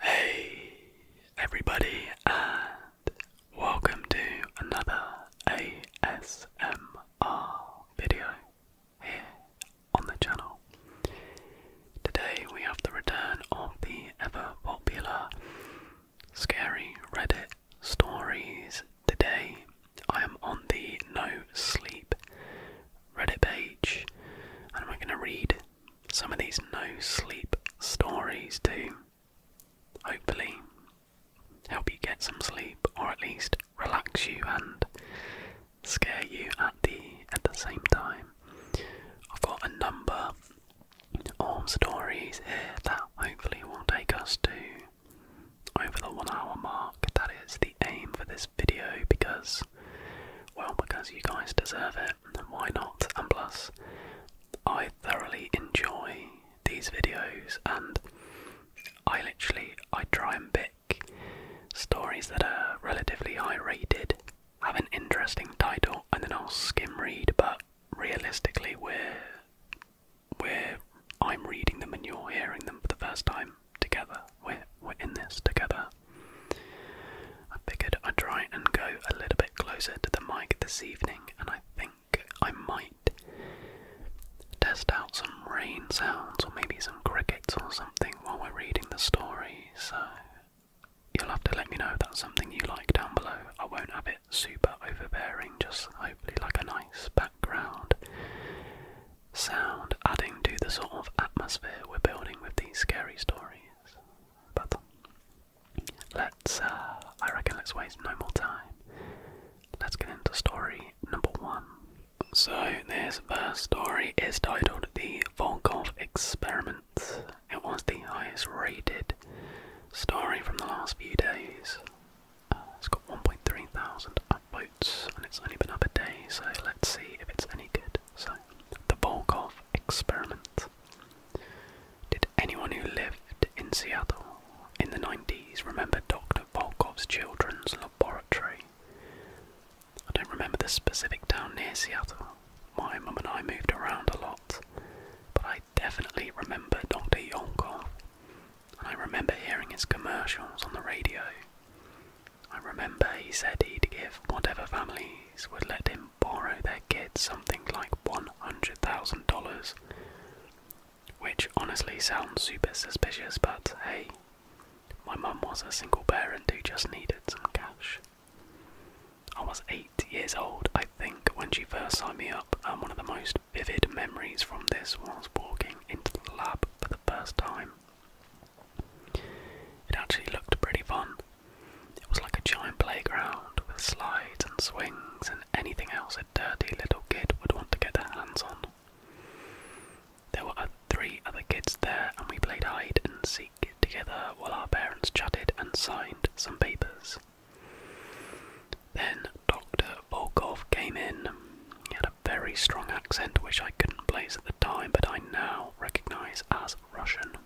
Hey everybody and welcome to another ASMR video here on the channel. Today we have the return of the ever popular scary Reddit stories. Today I am on the No Sleep Reddit page and I'm going to read some of these no sleep stories to hopefully help you get some sleep or at least relax you and scare you at the at the same time. I've got a number of stories here that hopefully will take us to over the one hour mark. That is the aim for this video because well because you guys deserve it why not? And plus, I thoroughly enjoy these videos, and I literally I try and pick stories that are relatively high rated, have an interesting title, and then I'll skim read. But realistically, we're we're I'm reading them and you're hearing them for the first time together. We're we're in this together. I figured I'd try and go a little bit closer to the mic this evening, and I think I might test out some rain sounds or maybe some crickets or something while we're reading the story. So you'll have to let me know if that's something you like down below. I won't have it super overbearing, just hopefully like a nice background sound adding to the sort of atmosphere we're building with these scary stories. But Let's, uh, I reckon let's waste no more time. Let's get into story number one. So, this story is titled The Volkov Experiment. It was the highest rated story from the last few days. Uh, it's got 1.3 thousand votes, and it's only been up a day, so let's see if it's any good. So, The Volkov Experiment. Did anyone who lived in Seattle in the 90s remember Dr. Volkov's Children's Laboratory? I don't remember the specific town near Seattle. My mom and I moved around a lot, but I definitely remember Dr. Yonkov, and I remember hearing his commercials on the radio. I remember he said he'd give whatever families would let him them borrow their kid something like $100,000, which honestly sounds super suspicious, but hey, my mum was a single parent who just needed some cash. I was eight years old, I think, when she first signed me up, and one of the most vivid memories from this was walking into the lab for the first time. It actually looked pretty fun. It was like a giant playground with slides and swings and anything else a dirty little kid would want to get their hands on. There were three other kids there, and we played hide and seek together while our parents chatted and signed some papers. Then Dr. Volkov came in. He had a very strong accent which I couldn't place at the time, but I now recognize as Russian.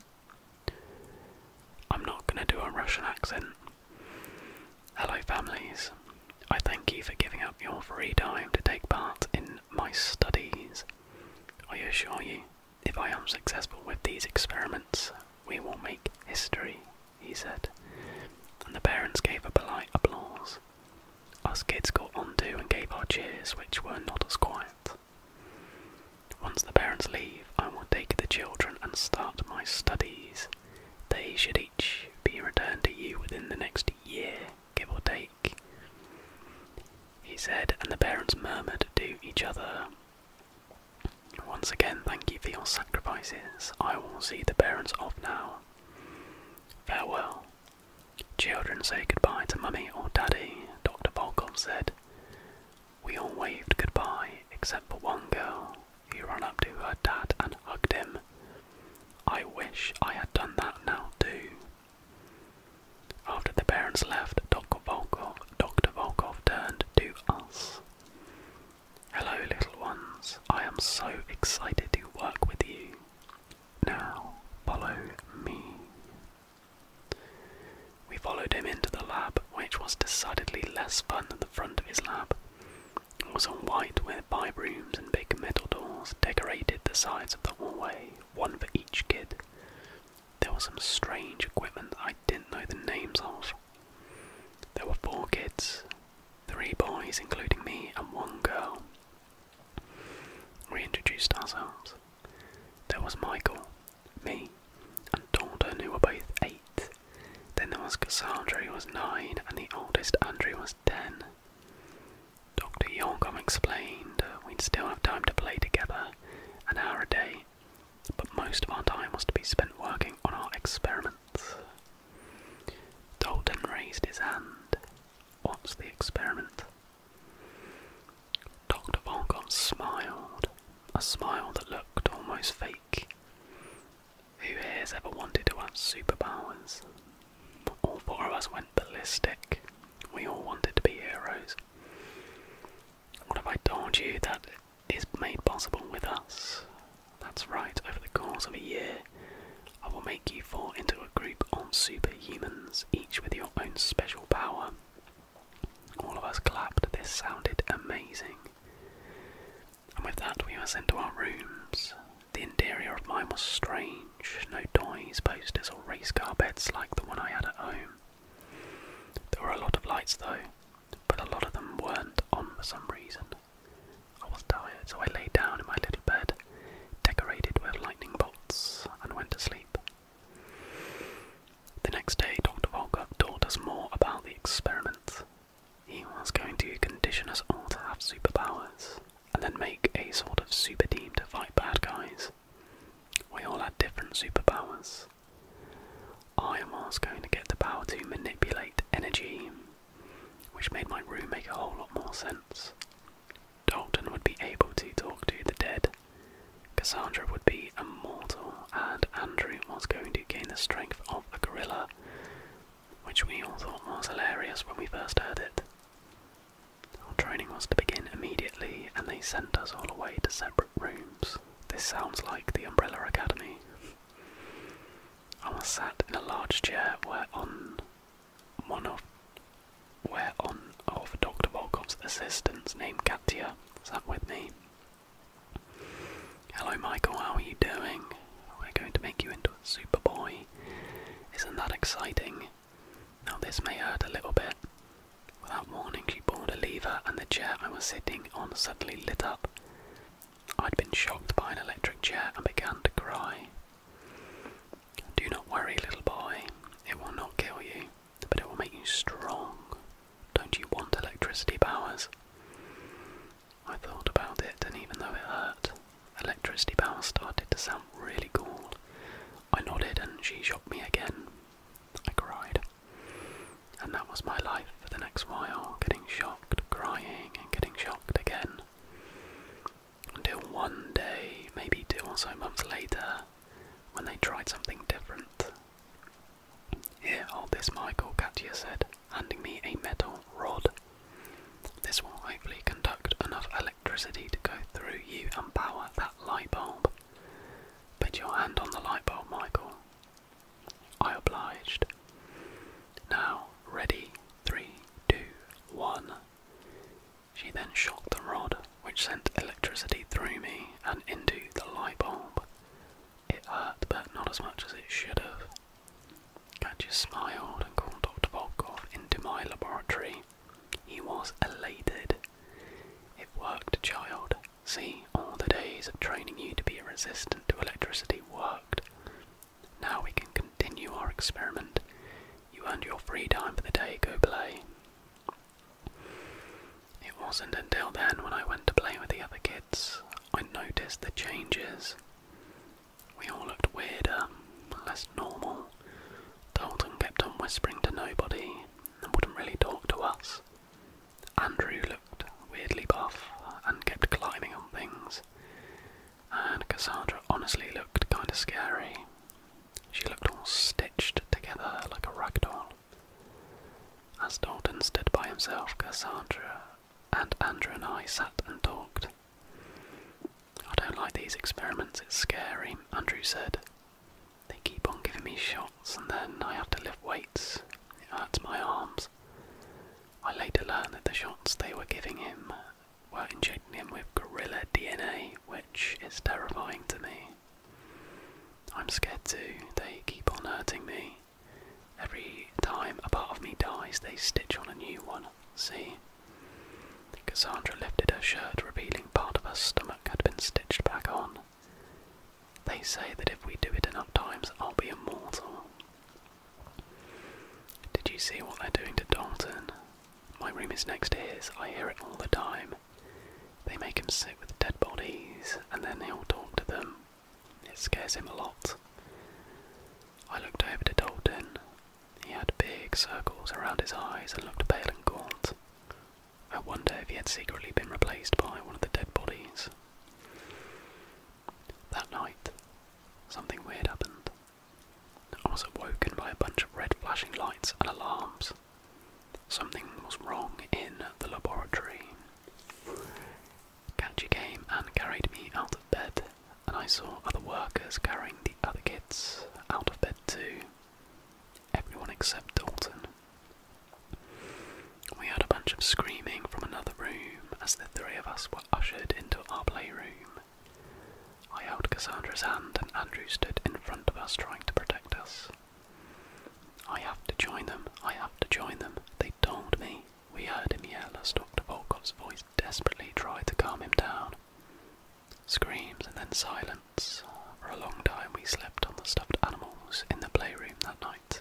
I'm not going to do a Russian accent. Hello, families. I thank you for giving up your free time to take part in my studies. I assure you, if I am successful with these experiments, we will make history, he said. And the parents gave a polite applause. Us kids got on too and gave our cheers, which were not as quiet. Once the parents leave, I will take the children and start my studies. They should each be returned to you within the next year, give or take. He said, and the parents murmured to each other, Once again, thank you for your sacrifices. I will see the parents off now. Farewell. Children say goodbye to mummy or daddy, Dr. Volkov said. We all waved goodbye except for one girl who ran up to her dad and hugged him. I wish I had done that now too. After the parents left, Dr. Volkov, Dr. Volkov turned to us. Hello, little ones. I am so excited to work with you. Now, follow me. We followed him into the lab, which was decidedly less fun than the front of his lab. It was all white with five rooms and big metal doors decorated the sides of the hallway, one for each kid. There was some strange equipment I didn't know the names of. There were four kids, three boys, including me, and one girl. We introduced ourselves. There was Michael, me, and Dalton, who were both eight. Then there was Cassandra, who was nine, and the oldest, Andrew, was ten. Dr. Yorgom explained we'd still have time to play together, an hour a day, but most of our time was to be spent working on our experiments. Dalton raised his hand. What's the experiment? Dr. Volcom smiled, a smile that looked almost fake. Who has ever wanted to have superpowers? All four of us went ballistic. We all wanted to be heroes. What have I told you that is made possible with us? That's right, over the course of a year, I will make you fall into a group of superhumans, each with your own special power. All of us clapped, this sounded amazing. And with that, we were sent to our rooms. The interior of mine was strange no toys, posters, or race car beds like the one I had at home. There were a lot of lights though, but a lot of them weren't on for some reason. I was tired, so I lay down in my little bed, decorated with lightning bolts, and went to sleep. The next day, Dr. Volkov told us more about the experiment. He was going to condition us all to have superpowers, and then make a sort of super team to fight bad guys. We all had different superpowers. I was going to get the power to manipulate energy, which made my room make a whole lot more sense. Dalton would be able to talk to the dead, Cassandra would be immortal, and Andrew was going to gain the strength of a gorilla, which we all thought was hilarious when we first heard it. Our training was to begin immediately, and they sent us all away to separate rooms. This sounds like the Umbrella Academy. I was sat in a large chair where on one of where on of Dr. Volkov's assistants named Katya sat with me, Hello, Michael, how are you doing? We're going to make you into a Superboy. Isn't that exciting? Now, this may hurt a little bit. Without warning, she pulled a lever, and the chair I was sitting on suddenly lit up. I'd been shocked by an electric chair and began to cry. Do not worry, little boy, it will not kill you but it will make you strong. Don't you want electricity powers? I thought about it, and even though it hurt, electricity powers started to sound really cool. I nodded, and she shocked me again. I cried. And that was my life for the next while, getting shocked, crying, and getting shocked again. Until one day, maybe two or so months later, when they tried something different. Here, hold this, Michael, Katia said, handing me a metal rod. This will hopefully conduct enough electricity to go through you and power that light bulb. Put your hand on the light bulb, Michael. I obliged. Now, ready, three, two, one. She then shocked the rod, which sent electricity through me and into the light bulb. It hurt, but not as much as it should have. Katya smiled and called Dr. Volkov into my laboratory. He was elated. It worked, child. See, all the days of training you to be resistant to electricity worked. Now we can continue our experiment. You earned your free time for the day, go play. It wasn't until then when I went to play with the other kids I noticed the changes. We all looked weirder, less normal. Dalton kept on whispering to nobody and wouldn't really talk to us. Andrew looked weirdly buff and kept climbing on things. And Cassandra honestly looked kinda scary. She looked all stitched together like a rag doll. As Dalton stood by himself, Cassandra and Andrew and I sat and talked. I don't like these experiments, it's scary, Andrew said. They keep on giving me shots and then I have to lift weights. It hurts my arms. I later learned that the shots they were giving him were injecting him with gorilla DNA, which is terrifying to me. I'm scared too. They keep on hurting me. Every time a part of me dies, they stitch on a new one. See? Cassandra lifted her shirt, revealing part of her stomach had been stitched back on. They say that if we do it enough times, I'll be immortal. Did you see what they're doing to Dalton? My room is next to his. I hear it all the time. They make him sit with dead bodies and then he'll talk to them. It scares him a lot. I looked over to Dalton. He had big circles around his eyes and looked pale and gaunt. I wonder if he had secretly been replaced by one of the dead bodies. That night, something weird happened. I was awoken by a bunch of red flashing lights and alarms. Something was wrong in the laboratory. Kanchi came and carried me out of bed, and I saw other workers carrying the other kids out of bed too. Everyone except Dalton. We heard a bunch of screaming from another room as the three of us were ushered into our playroom. I held Cassandra's hand and Andrew stood in front of us trying to protect us. I have to join them. I have to join them. They told me. We heard him yell as Dr. Volkov's voice desperately tried to calm him down. Screams and then silence. For a long time, we slept on the stuffed animals in the playroom that night.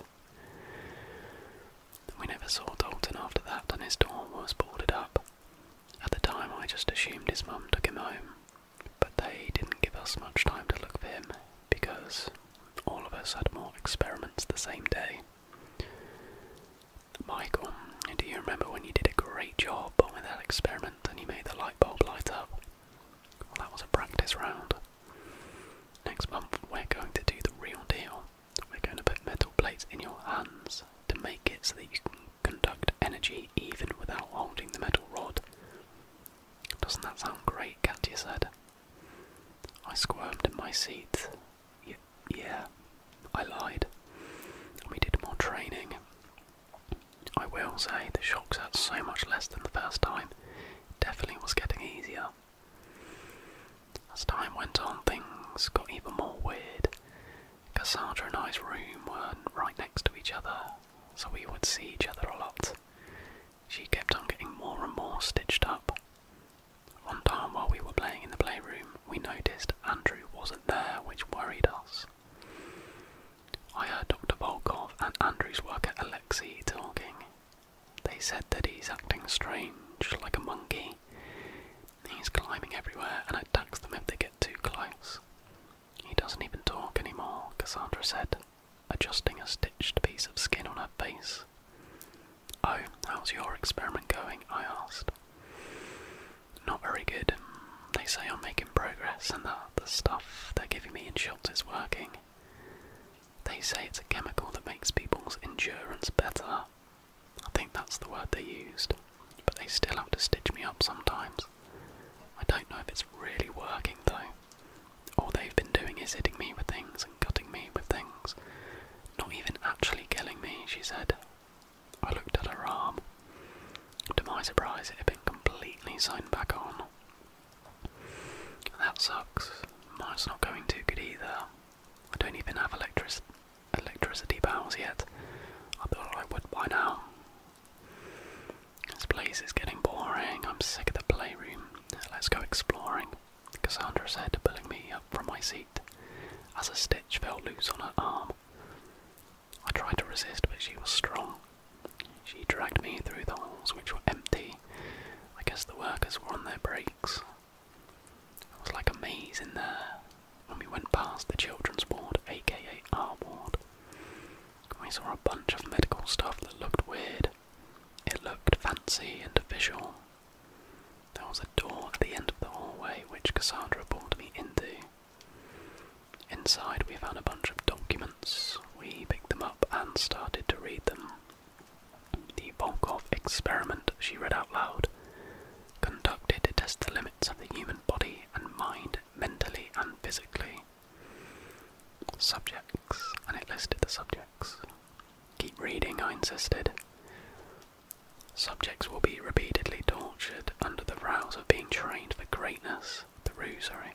We never saw Dalton after that, and his door was boarded up. At the time, I just assumed his mum took him home, but they didn't give us much time to look for him because all of us had more experiments the same day. Michael, do you remember when you did a great job with that experiment and you made the light bulb light up? Well, that was a practice round. Next month, we're going to do the real deal. We're going to put metal plates in your hands to make it so that you can conduct energy even without holding the metal rod. Doesn't that sound great? Katya said. I squirmed in my seat. yeah, I lied. We did more training. I will say the shocks hurt so much less than the first time. definitely was getting easier. As time went on, things got even more weird. Cassandra and I's room were right next to each other, so we would see each other a lot. She kept on getting more and more stitched up. One time while we were playing in the playroom, we noticed Andrew wasn't there, which worried us. I heard Dr. Volkov and Andrew's worker Alexei talking. They said that he's acting strange, like a monkey. He's climbing everywhere and attacks them if they get too close. He doesn't even talk anymore, Cassandra said adjusting a stitched piece of skin on her face. Oh, how's your experiment going? I asked. Not very good. They say I'm making progress and that the stuff they're giving me in shots is working. They say it's a chemical that makes people's endurance better. I think that's the word they used. But they still have to stitch me up sometimes. I don't know if it's really working though. All they've been doing is hitting me with things and cutting me with things. Not even actually killing me, she said. I looked at her arm. To my surprise, it had been completely sewn back on. That sucks. Mine's not going too good either. I don't even have electric electricity bells yet. I thought I would by now. This place is getting boring. I'm sick of the playroom. Let's go exploring, Cassandra said, pulling me up from my seat as a stitch fell loose on her arm. I tried to resist, but she was strong. She dragged me through the halls, which were empty. I guess the workers were on their breaks. It was like a maze in there. When we went past the children's ward, aka our ward, we saw a bunch of medical stuff that looked weird. It looked fancy and official. There was a door at the end of the hallway which Cassandra pulled me into. Inside, we found a bunch of documents. We picked them up and started to read them. The Volkov experiment, she read out loud, conducted to test the limits of the human body and mind mentally and physically. Subjects, and it listed the subjects. Keep reading, I insisted. Subjects will be repeatedly tortured under the rouse of being trained for greatness, the ruse, sorry.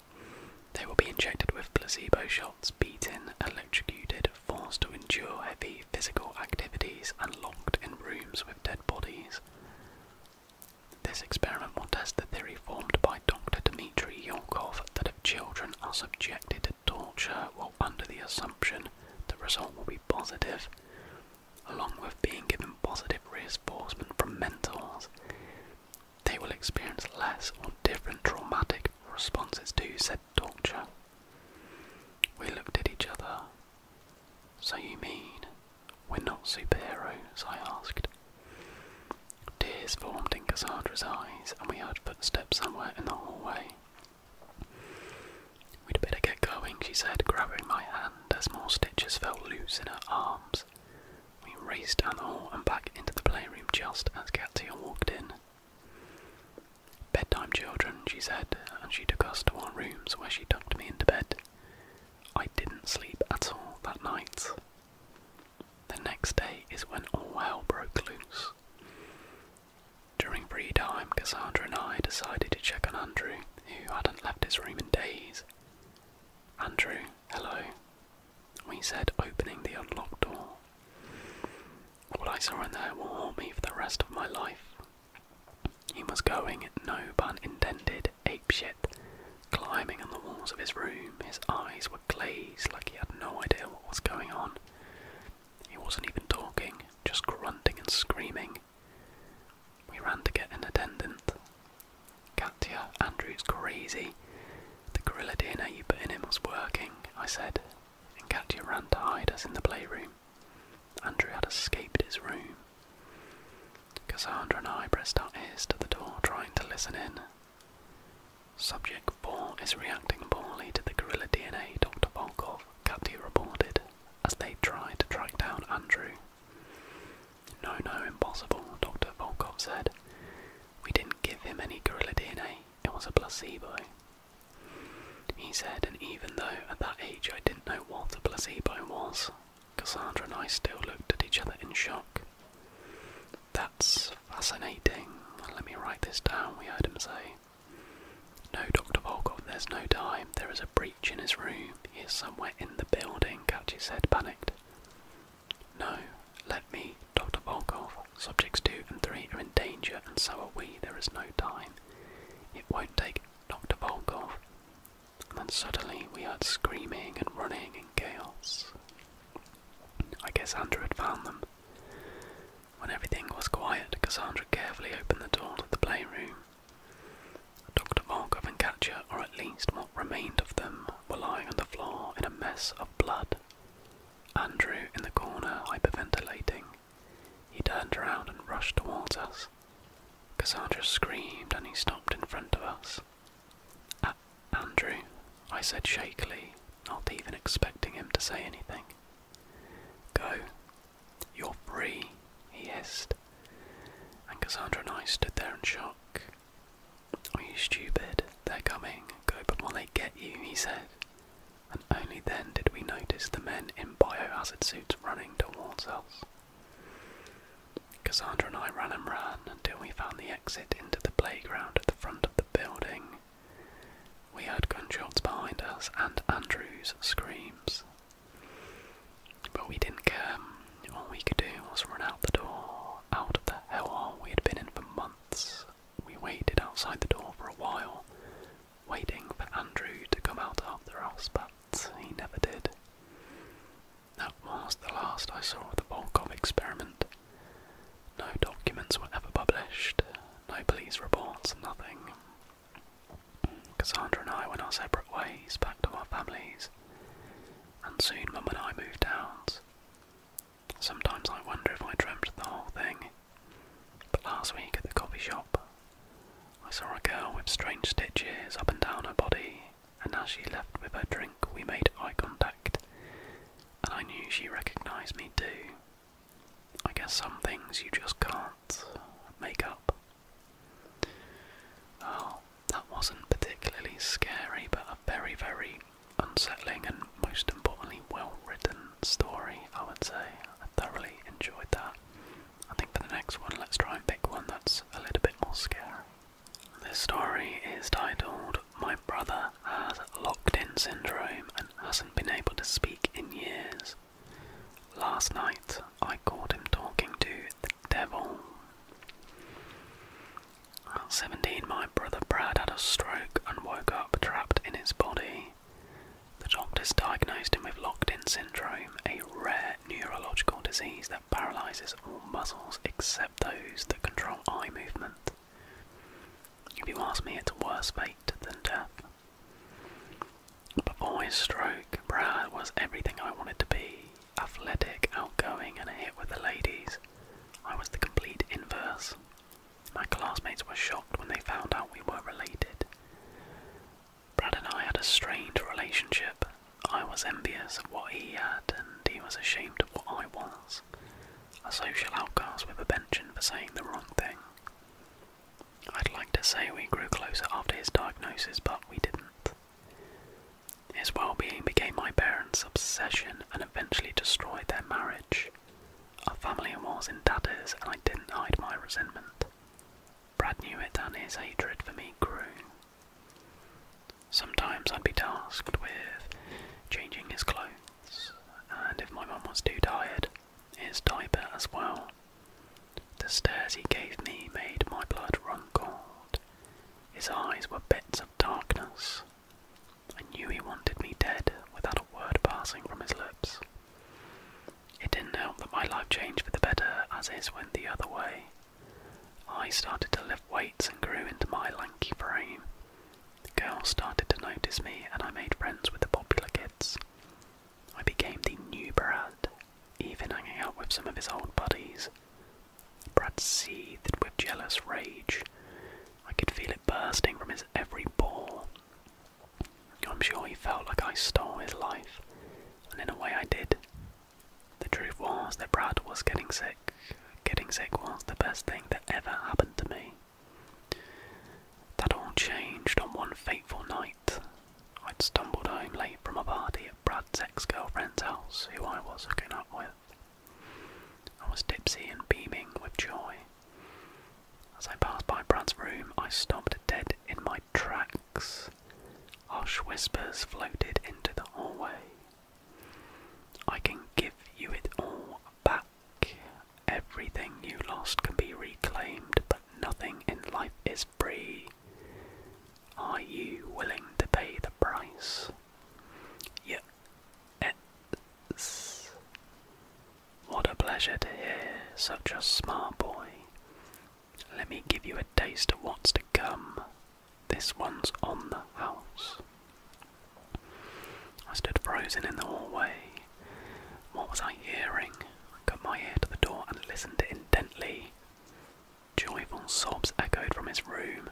They will be injected with placebo shots, beaten, electrocuted, forced to endure heavy physical activities, and locked in rooms with dead bodies. This experiment will test the theory formed by Dr. Dmitry Yolkov, the children are subjected to torture while under the assumption the result will be positive, along with being given positive reinforcement from mentors, they will experience less or different traumatic responses to said torture. We looked at each other. So you mean we're not superheroes? I asked. Tears formed in Cassandra's eyes, and we heard footsteps somewhere in the hallway. We'd better get going, she said, grabbing my hand as more stitches fell loose in her arms. We raced down the hall and back into the playroom just as Katia walked in. Bedtime, children, she said, and she took us to our rooms where she tucked me into bed. I didn't sleep at all that night. The next day is when all hell broke loose. During free time, Cassandra and I decided to check on Andrew, who hadn't left his room in days. Andrew, hello, we said, opening the unlocked door. What I saw in there will haunt me for the rest of my life. He was going, no pun intended, apeshit, climbing on the walls of his room. His eyes were glazed like he had no idea what was going on. He wasn't even talking, just grunting and screaming. We ran to get an attendant. Katya, Andrew's crazy. The gorilla DNA you put in him was working, I said, and Katya ran to hide us in the playroom. Andrew had escaped his room. Cassandra and I pressed our ears to the door, trying to listen in, Subject 4 is reacting poorly to the gorilla DNA Dr. Volkov, Katya reported, as they tried to track down Andrew. No, no, impossible, Dr. Volkov said. We didn't give him any gorilla DNA, it was a placebo. He said, and even though at that age I didn't know what a placebo was, Cassandra and I still looked at each other in shock. That's fascinating. Let me write this down, we heard him say. No, Dr. Volkov, there's no time. There is a breach in his room. He's somewhere in the building, Katya said, panicked. No, let me, Dr. Volkov. Subjects 2 and 3 are in danger, and so are we. There is no time. It won't take Dr. Volkov. And then suddenly we heard screaming and running and chaos. I guess Andrew had found them. When everything was quiet, Cassandra carefully opened the door to the playroom. Dr. Volkov and Katya, or at least what remained of them, were lying on the floor in a mess of blood. Andrew, in the corner, hyperventilating. He turned around and rushed towards us. Cassandra screamed and he stopped in front of us. Andrew? I said shakily, not even expecting him to say anything. Go. You're free, he hissed. And Cassandra and I stood there in shock. Are you stupid? They're coming. Go but before they get you, he said. And only then did we notice the men in biohazard suits running towards us. Cassandra and I ran and ran until we found the exit into the playground at the front of the building, we heard gunshots behind us and Andrew's screams. But we didn't care. All we could do was run out the door, out of the hellhole we had been in for months. We waited outside the door for a while, waiting for Andrew to come out after us, but he never did. That was the last I saw of the Volkov experiment. No documents were ever published, no police reports, nothing. Cassandra and I went our separate ways back to our families, and soon Mum and I moved out. Sometimes I wonder if I dreamt of the whole thing, but last week at the coffee shop, I saw a girl with strange stitches up and down her body, and as she left with her drink, we made eye contact, and I knew she recognised me too. I guess some things you just can't make up. Oh, that wasn't particularly scary, but a very, very unsettling and most importantly well written story, I would say. I thoroughly enjoyed that. I think for the next one, let's try and pick one that's a little bit more scary. This story is titled my brother has locked in syndrome and hasn't been able to speak in years. Last night I caught him talking to the devil. At 17, my brother Brad had a stroke and woke up trapped in his body. The doctors diagnosed him with locked in syndrome, a rare neurological disease that paralyzes all muscles except those that control eye movement. If you ask me, it's a worse fate than death. Before his stroke, Brad was everything I wanted to be athletic, outgoing, and a hit with the ladies. I was the complete inverse. My classmates were shocked when they found out we were related. Brad and I had a strained relationship. I was envious of what he had, and he was ashamed of what I was a social outcast with a pension for saying the wrong thing. I'd like to say we grew closer after his diagnosis, but we didn't. His well being became my parents' obsession and eventually destroyed their marriage. Our family was in tatters, and I didn't hide my resentment. Brad knew it, and his hatred for me grew. Sometimes I'd be tasked with changing his clothes and if my mum was too tired, his diaper as well. The stares he gave me made my blood run cold. His eyes were bits of darkness. I knew he wanted me dead without a word passing from his lips. It didn't help that my life changed for the better as it went the other way. I started to lift weights and grew into my lanky frame, the girls started to notice me, and I made friends with the popular kids. I became the new Brad, even hanging out with some of his old buddies. Brad seethed with jealous rage. I could feel it bursting from his every pore. I'm sure he felt like I stole his life, and in a way I did. The truth was that Brad was getting sick. Getting sick was the best thing that ever happened to me. That all changed on one fateful night. I'd stumbled home late from a party at Brad's ex girlfriend's house, who I was hooking up with. I was tipsy and beaming with joy. As I passed by Brad's room, I stopped dead in my tracks. Harsh whispers floated into the hallway. I can give you it all back. Everything you lost can be reclaimed, but nothing in life is free. Are you willing to pay the price? Yes. What a pleasure to hear, such a smart boy. Let me give you a taste of what's to come. This one's on the house. I stood frozen in the hallway. What was I hearing? I cut my ear to the door and listened intently. Joyful sobs echoed from his room.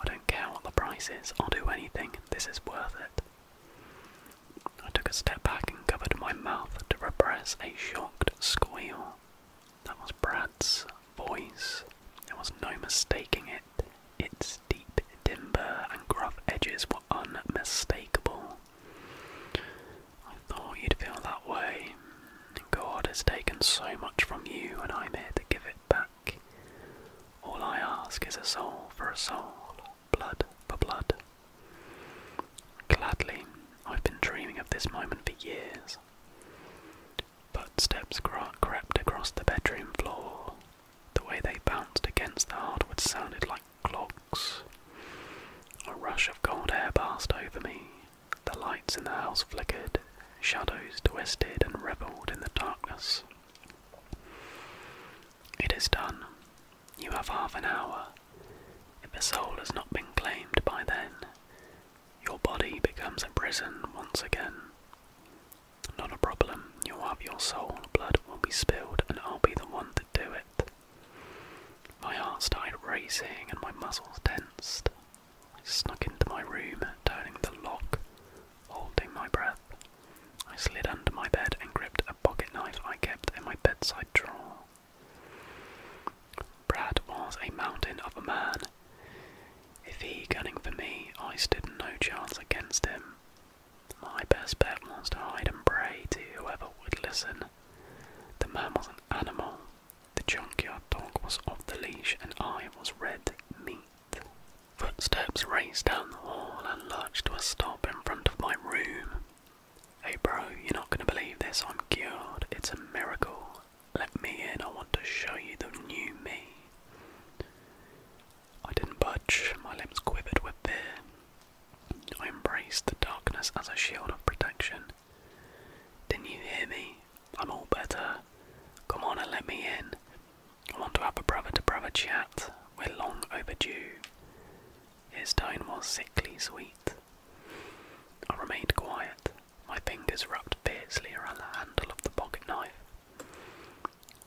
I don't care what the price is, I'll do anything, this is worth it. I took a step back and covered my mouth to repress a shocked squeal. That was Brad's voice. There was no mistaking it. Its deep timber and rough edges were unmistakable. I thought you'd feel that way. God has taken so much from you, and I'm here to give it back. All I ask is a soul for a soul, blood for blood. Gladly, I've been dreaming of this moment for years. Footsteps crack crept across the bedroom floor, the way they bounced against the hardwood sounded like clogs. A rush of cold air passed over me. The lights in the house flickered, shadows twisted and rebelled in the darkness. It is done. You have half an hour. If the soul has not been claimed by then, your body becomes a prison once again. Not a problem. You'll have your soul blood will be spilled, and I'll be the one to do it. My heart started racing and my muscles tensed. I snuck into my room, turning the lock, holding my breath. I slid under my bed and gripped a pocket knife I kept in my bedside drawer. Brad was a mountain of a man. If he gunning for me, I stood no chance against him. My best bet was to hide and pray to whoever would listen. The man was an animal, the junkyard dog was off the leash, and I was red meat. Footsteps raced down the hall and lurched to a stop in front of my room. Hey, bro, you're not gonna believe this. I'm cured. It's a miracle. Let me in. I want to show you the new me. I didn't budge, my limbs quivered with fear. I embraced the darkness as a shield of protection. did you hear me? I'm all better. Come on and let me in. I want to have a brother to brother chat. We're long overdue. His tone was sickly sweet. I remained quiet, my fingers wrapped fiercely around the handle of the pocket knife.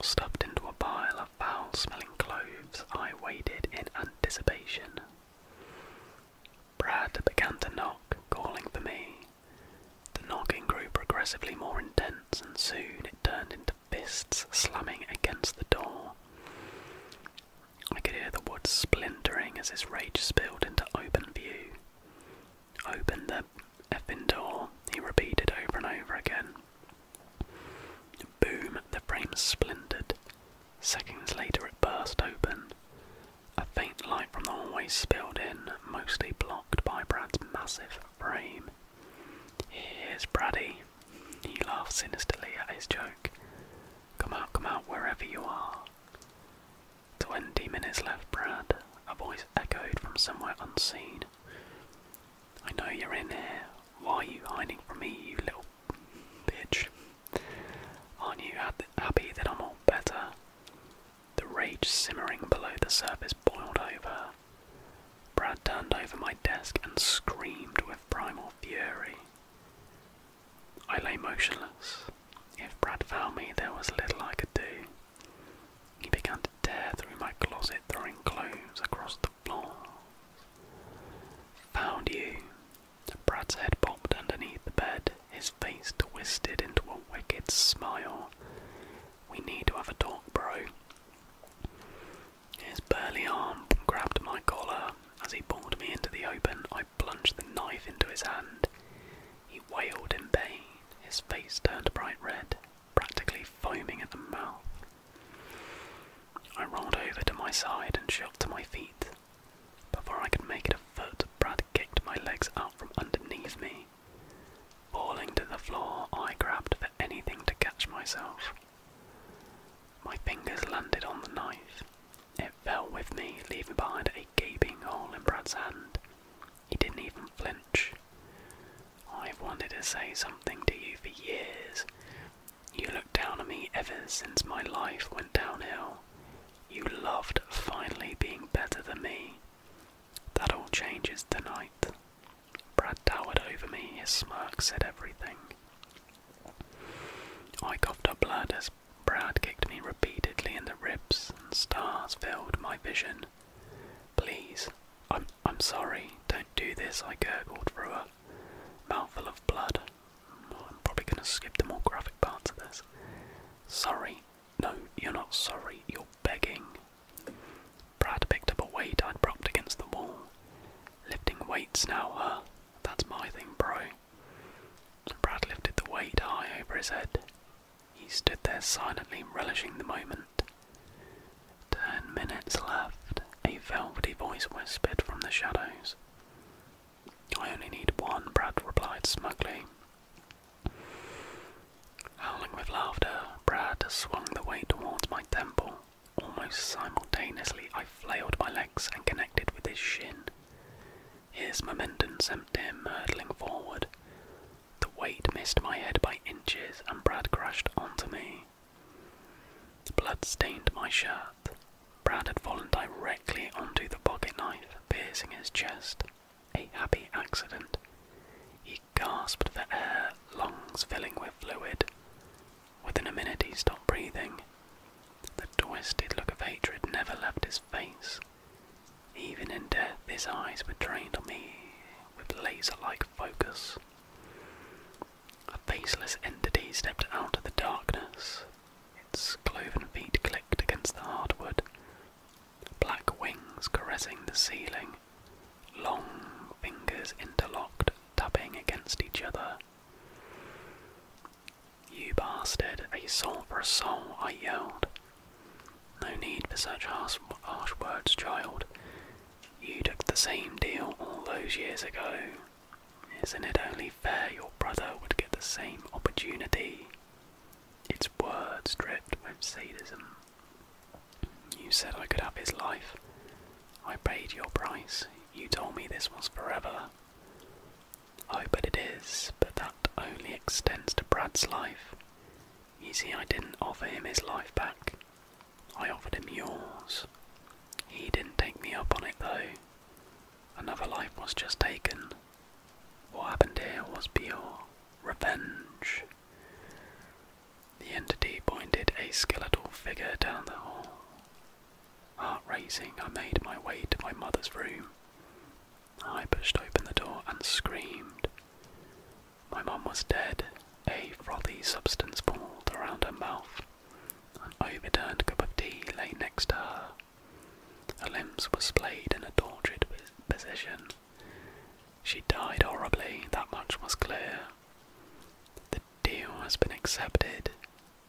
Stuffed into a pile, I foul smelling clothes. I waited in anticipation. Brad began to knock, calling for me. The knocking grew progressively more intense, and soon it turned into fists slamming against the door. I could hear the wood splintering as his rage spilled into open view. Open the effing door, he repeated over and over again. Boom, the frame splintered. Seconds later, it burst open. A faint light from the hallway spilled in, mostly blocked by Brad's massive frame. Here's Braddy. He laughed sinisterly at his joke. Come out, come out, wherever you are. Twenty minutes left, Brad. A voice echoed from somewhere unseen. I know you're in here. Why are you hiding from me, you little bitch? Aren't you happy that I'm all better? The rage simmering below the surface boiled over. Brad turned over my desk and screamed with primal fury. I lay motionless. If Brad found me, there was little I could do. He began to tear through my closet, throwing clothes across the floor. Found you. Brad's head popped underneath the bed, his face twisted into a wicked smile. We need to have a talk, bro. His burly arm grabbed my collar. As he pulled me into the open, I plunged the knife into his hand. He wailed in pain, his face turned bright red, practically foaming at the mouth. I rolled over to my side and shot to my feet. Before I could make it a foot, Brad kicked my legs out from underneath me. Falling to the floor, I grabbed for anything to catch myself. My fingers landed on the knife. It fell with me, leaving behind a gaping hole in Brad's hand. He didn't even flinch. I've wanted to say something to you for years. You looked down on me ever since my life went downhill. You loved finally being better than me. That all changes tonight. Brad towered over me, his smirk said everything. I coughed up blood as Brad kicked me repeatedly in the ribs, and stars filled my vision. Please, I'm I'm sorry. Don't do this. I gurgled through a mouthful of blood. Oh, I'm probably going to skip the more graphic parts of this. Sorry. No, you're not sorry. You're begging. Brad picked up a weight I'd propped against the wall. Lifting weights now, huh? That's my thing, bro. Brad lifted the weight high over his head. He stood there silently relishing the moment. Ten minutes left, a velvety voice whispered from the shadows. I only need one, Brad replied smugly. Howling with laughter, Brad swung the weight towards my temple. Almost simultaneously, I flailed my legs and connected with his shin. His momentum sent him hurtling forward. The weight missed my head by inches, and Brad crashed onto me. Blood stained my shirt. Brad had fallen directly onto the pocket knife, piercing his chest. A happy accident. He gasped for air, lungs filling with fluid. Within a minute, he stopped breathing. The twisted look of hatred never left his face. Even in death, his eyes were trained on me with laser like focus. A faceless entity stepped out of the darkness. Its cloven feet clicked against the hardwood, black wings caressing the ceiling, long fingers interlocked, tapping against each other. You bastard, a soul for a soul, I yelled. No need for such harsh, harsh words, child. You took the same deal all those years ago. Isn't it only fair your brother would get the same opportunity? It's words dripped with sadism. You said I could have his life. I paid your price. You told me this was forever. Oh, but it is, but that only extends to Brad's life. You see, I didn't offer him his life back. I offered him yours. He didn't take me up on it though. Another life was just taken. What happened here was pure revenge. The entity pointed a skeletal figure down the hall. Heart racing, I made my way to my mother's room. I pushed open the door and screamed. My mom was dead, a frothy substance pooled around her mouth. An overturned cup of tea lay next to her. Her limbs were splayed in a tortured position. She died horribly, that much was clear. The deal has been accepted.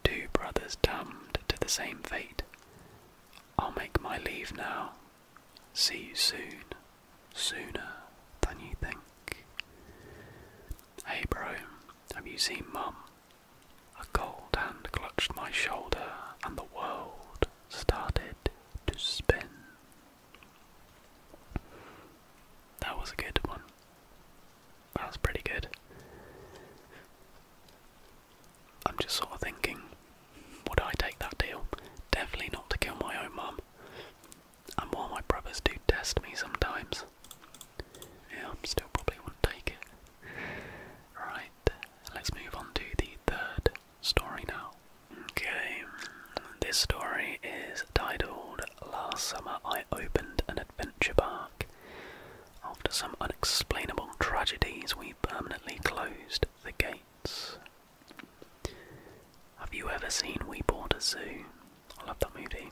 Two brothers damned to the same fate. I'll make my leave now. See you soon, sooner than you think. Hey, bro, have you seen Mum? A cold hand clutched my shoulder, and the world started to spin. That was a good one. That was pretty good. I'm just sort of thinking, would I take that deal? Definitely not to kill my own mum. And while my brothers do test me sometimes, yeah, I'm still probably won't take it. Right, let's move on to the third story now. Okay, this story is titled Last Summer I Opened an Adventure Park. After some unexplainable tragedies, we permanently closed the gates. Have you ever seen We Bought a Zoo? I love that movie.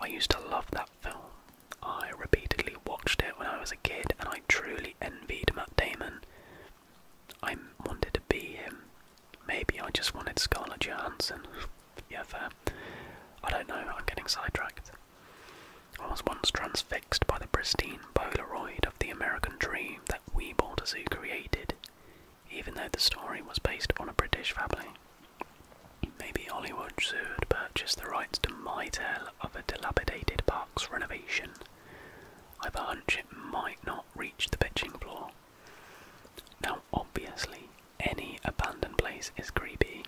I used to love that film. I repeatedly watched it when I was a kid and I truly envied Matt Damon. I wanted to be him. Maybe I just wanted Scarlett Johansson. yeah, fair. I don't know, I'm getting sidetracked. I was once transfixed by the pristine Polaroid of the American dream that Weeble Dazu created even though the story was based on a British family. Maybe Hollywood Zoo had purchased the rights to my tale of a dilapidated park's renovation. I've a hunch it might not reach the pitching floor. Now, obviously, any abandoned place is creepy.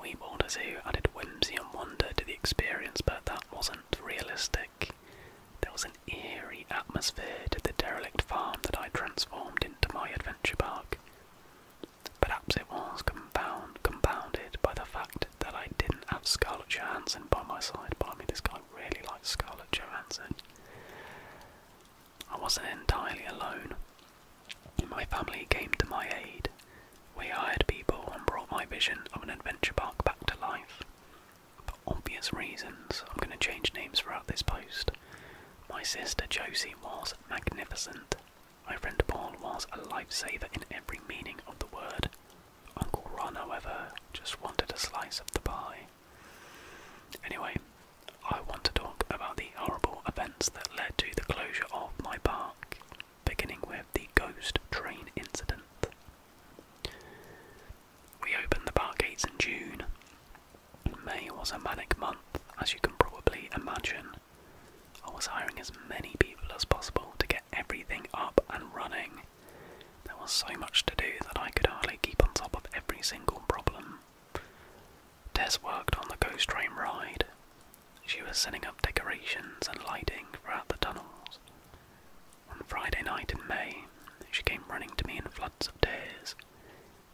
We Boulder Zoo added whimsy and wonder to the experience, but that wasn't realistic. There was an eerie eerie atmosphere did the derelict farm that I transformed into my adventure park. Perhaps it was compound, compounded by the fact that I didn't have Scarlett Johansson by my side. by me mean, this guy really likes Scarlett Johansson. I wasn't entirely alone. My family came to my aid. We hired people and brought my vision of an adventure park back to life. For obvious reasons, I'm going to change names throughout this post. My sister Josie was magnificent. My friend Paul was a lifesaver in every meaning of the word. Uncle Ron, however, just wanted a slice of the pie. Anyway, I want to talk about the horrible events that led to the closure of my park, beginning with the ghost train incident. We opened the park gates in June. May was a manic month, as you can probably imagine. I was hiring as many people as possible to get everything up and running. There was so much to do that I could hardly keep on top of every single problem. Tess worked on the ghost train ride. She was setting up decorations and lighting throughout the tunnels. On Friday night in May, she came running to me in floods of tears,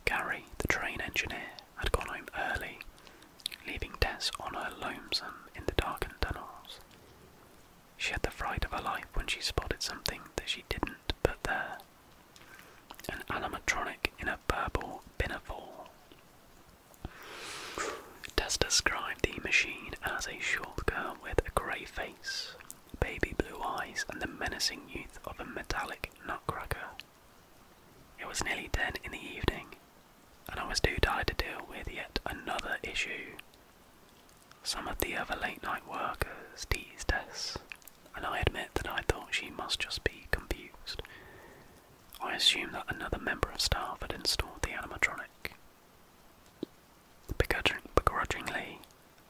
Gary, the train engineer, had gone home early, leaving Tess on her lonesome in the darkened tunnels. She had the fright of her life when she spotted something that she didn't put there an animatronic in a purple pinafore. Tess described the machine as a short girl with a grey face, baby blue eyes, and the menacing youth of a metallic Magic Nutcracker. It was nearly 10 in the evening, and I was too tired to deal with yet another issue. Some of the other late night workers teased us, and I admit that I thought she must just be confused. I assumed that another member of staff had installed the animatronic. Begrudgingly,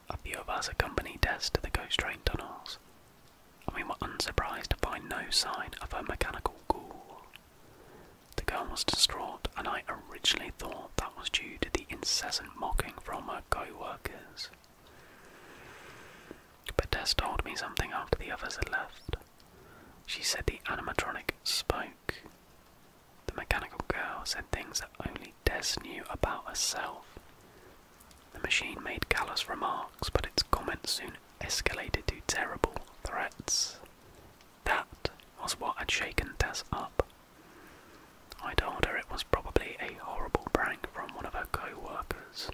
a few of us accompanied Des to the ghost train tunnels, and we were unsurprised to find no sign of her mechanical girl. The girl was distraught, and I originally thought that was due to the incessant mocking from her co-workers. But Des told me something after the others had left. She said the animatronic spoke. The mechanical girl said things that only Des knew about herself, the machine made callous remarks, but its comments soon escalated to terrible threats. That was what had shaken Tess up. I told her it was probably a horrible prank from one of her co workers.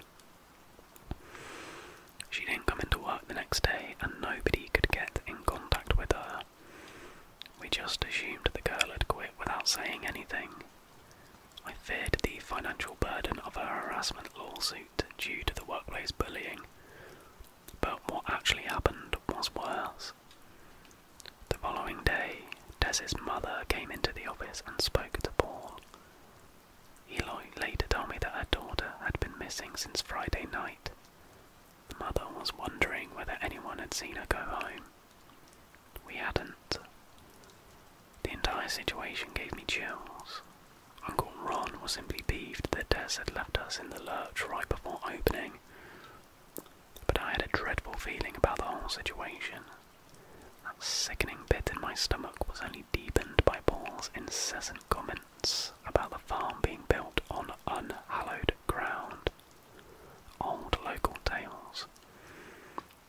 She didn't come into work the next day, and nobody could get in contact with her. We just assumed the girl had quit without saying anything. I feared the financial burden of a harassment lawsuit due to the workplace bullying, but what actually happened was worse. The following day, Tess's mother came into the office and spoke to Paul. Eloy later told me that her daughter had been missing since Friday night. The mother was wondering whether anyone had seen her go home. We hadn't. The entire situation gave me chills. Uncle Ron was simply peeved that Des had left us in the lurch right before opening. But I had a dreadful feeling about the whole situation. That sickening pit in my stomach was only deepened by Paul's incessant comments about the farm being built on unhallowed ground. Old local tales.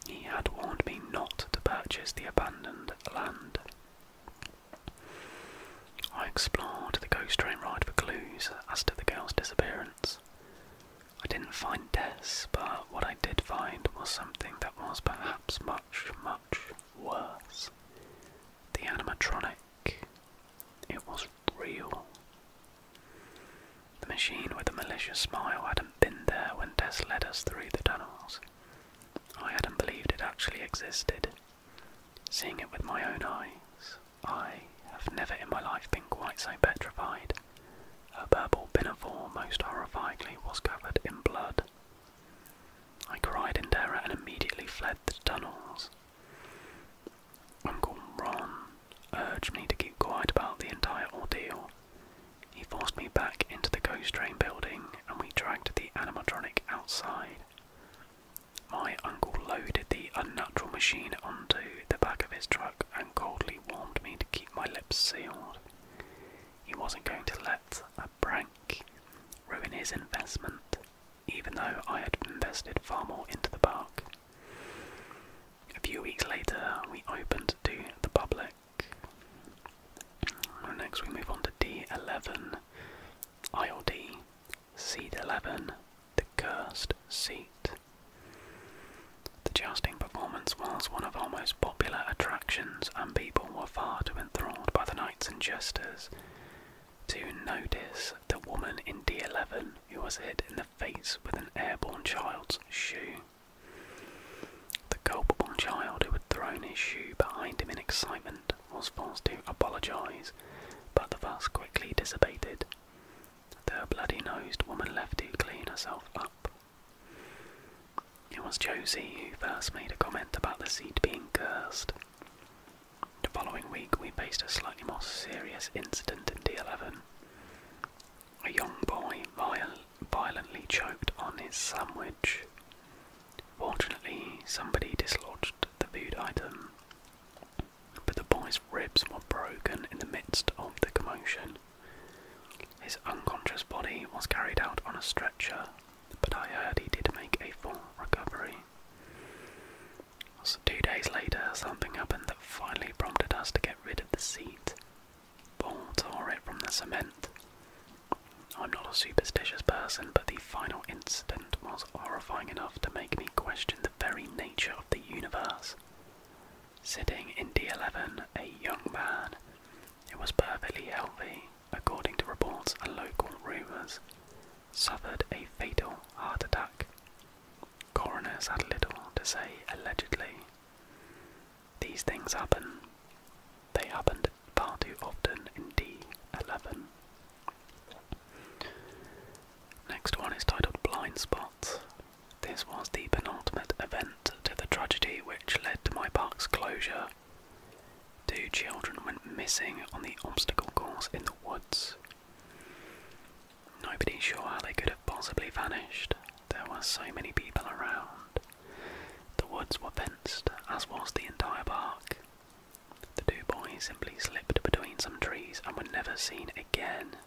He had warned me not to purchase the abandoned land. I explored the ghost train ride for clues as to the girl's disappearance. I didn't find Tess, but what I did find was something that was perhaps much, much worse. The animatronic. It was real. The machine with a malicious smile hadn't been there when Tess led us through the tunnels. I hadn't believed it actually existed. Seeing it with my own eyes, I have never in my life been quite so petrified. Her purple pinafore, most horrifyingly, was covered in blood. I cried in terror and immediately fled the tunnels. Uncle Ron urged me to keep quiet about the entire ordeal, he forced me back into the ghost train building and we dragged the animatronic outside. My uncle loaded the unnatural machine onto the back of his truck and coldly warned me to keep my lips sealed. He wasn't going to let a prank ruin his investment, even though I had invested far more into the park. A few weeks later, we opened to the public. Next, we move on to D11, ILD, seat 11, the cursed seat. The jousting performance was one of our most popular attractions, and people were far too enthralled by the knights and jesters to notice the woman in D11 who was hit in the face with an airborne child's shoe. The culpable child who had thrown his shoe behind him in excitement was forced to apologise, but the fuss quickly dissipated. The bloody nosed woman left to clean herself up. It was Josie who first made a comment about the seat being cursed. The following week, we faced a slightly more serious incident in D11. A young boy violently choked on his sandwich. Fortunately, somebody dislodged the food item, but the boy's ribs were broken in the midst of the commotion. His unconscious body was carried out on a stretcher, but I heard he did make a full recovery. two days later, something happened that finally prompted us to get rid of the seat Ball tore it from the cement. I'm not a superstitious person, but the final incident was horrifying enough to make me question the very nature of the universe. Sitting in D11, a young man who was perfectly healthy, according to reports and local rumours, suffered a fatal heart attack. Coroners had little to say, allegedly, these things happen. They happened far too often in D11. Next one is titled Blind Spots. This was the penultimate event to the tragedy which led to my park's closure. Two children went missing on the obstacle course in the woods. Nobody's sure how they could have possibly vanished. There were so many people around. The woods were fenced, as was the entire park. The two boys simply slipped between some trees and were never seen again.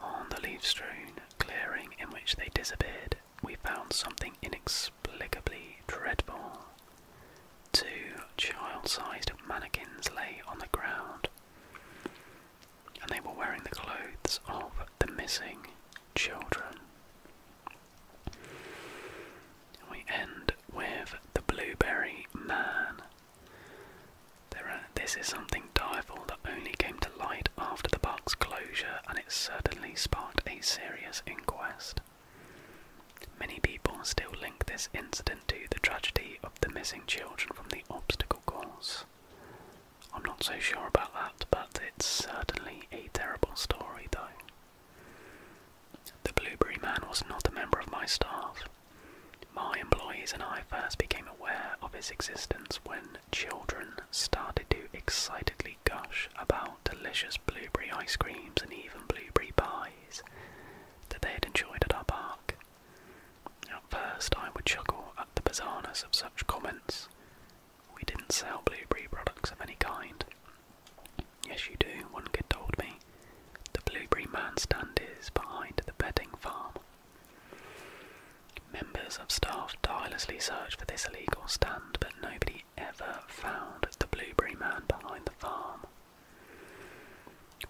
On the leaf strewn clearing in which they disappeared, we found something inexplicably dreadful. Two child sized mannequins lay on the ground and they were wearing the clothes of the missing children. We end with the Blueberry Man. this is something direful that only came to light after the park's closure, and it certainly sparked a serious inquest. Many people still link this incident to the tragedy of the missing children from the obstacle course, I'm not so sure about that, but it's certainly a terrible story, though. The Blueberry Man was not a member of my staff. My employees and I first became aware of his existence when children started to excitedly gush about delicious blueberry ice creams and even blueberry pies that they had enjoyed at our park. At first, I would chuckle at the bizarreness of such comments, we didn't sell blueberry products of any kind. Yes, you do, one kid told me. The blueberry man stand is behind the bedding farm. Members of staff tirelessly searched for this illegal stand, but nobody ever found the blueberry man behind the farm.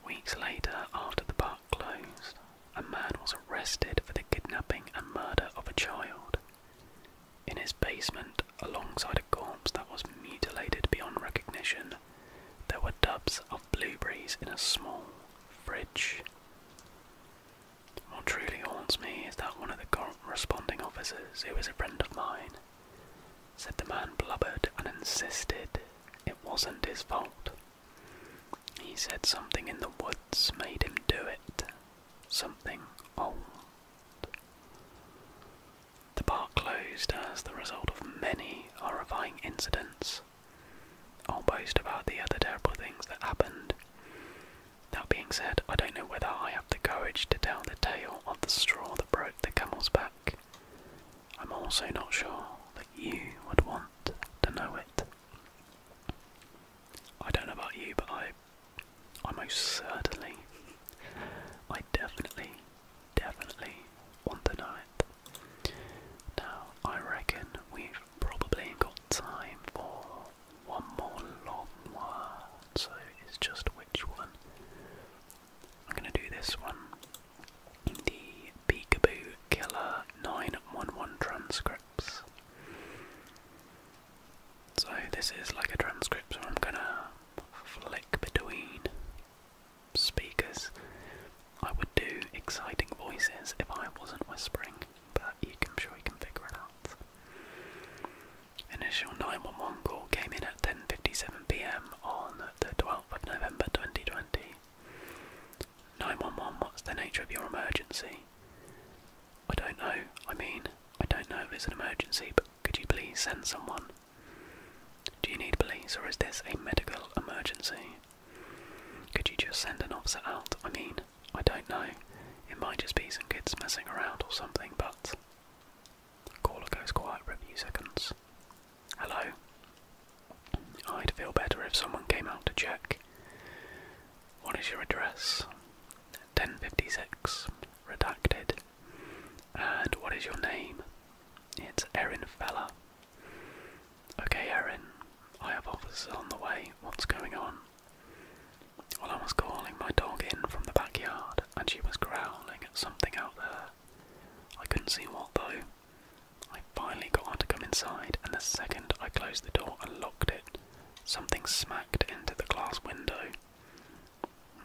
Weeks later, after the park closed, a man was arrested for the kidnapping and murder of a child in his basement alongside a corpse that was mutilated beyond recognition. There were tubs of blueberries in a small fridge. What truly haunts me is that one of the corresponding officers, who is a friend of mine, said the man blubbered and insisted it wasn't his fault. He said something in the woods made him do it, something old. The park closed as the result of many horrifying incidents. Almost about the other terrible things that happened. That being said, I don't know whether I have the courage to tell the tale of the straw that broke the camel's back. I'm also not sure that you would want to know it. I don't know about you, but I I most certainly, I definitely, definitely want the ninth. Now, I reckon we've probably got time for one more long word, so it's just which one. I'm gonna do this one. The Peekaboo Killer 911 transcripts. So this is like a transcript, so I'm gonna flick between speakers. I would do exciting voices if I wasn't whispering, but you can, I'm sure you can figure it out. Initial 911 call came in at 10.57pm on the 12th of November 2020. 911, what's the nature of your emergency? I don't know. I mean, I don't know if it's an emergency, but could you please send someone? Do you need police or is this a medical emergency? Could you just send an officer out? I mean, I don't know. It might just be some kids messing around or something, but. Caller goes quiet for a few seconds. Hello? I'd feel better if someone came out to check. What is your address? 1056. Redacted. And what is your name? It's Erin Feller. Okay, Erin, I have officers on the way. What's going on? Well, I was calling my dog in from the backyard and she was growling at something out there. I couldn't see what though. I finally got her to come inside, and the second I closed the door and locked it, Something smacked into the glass window.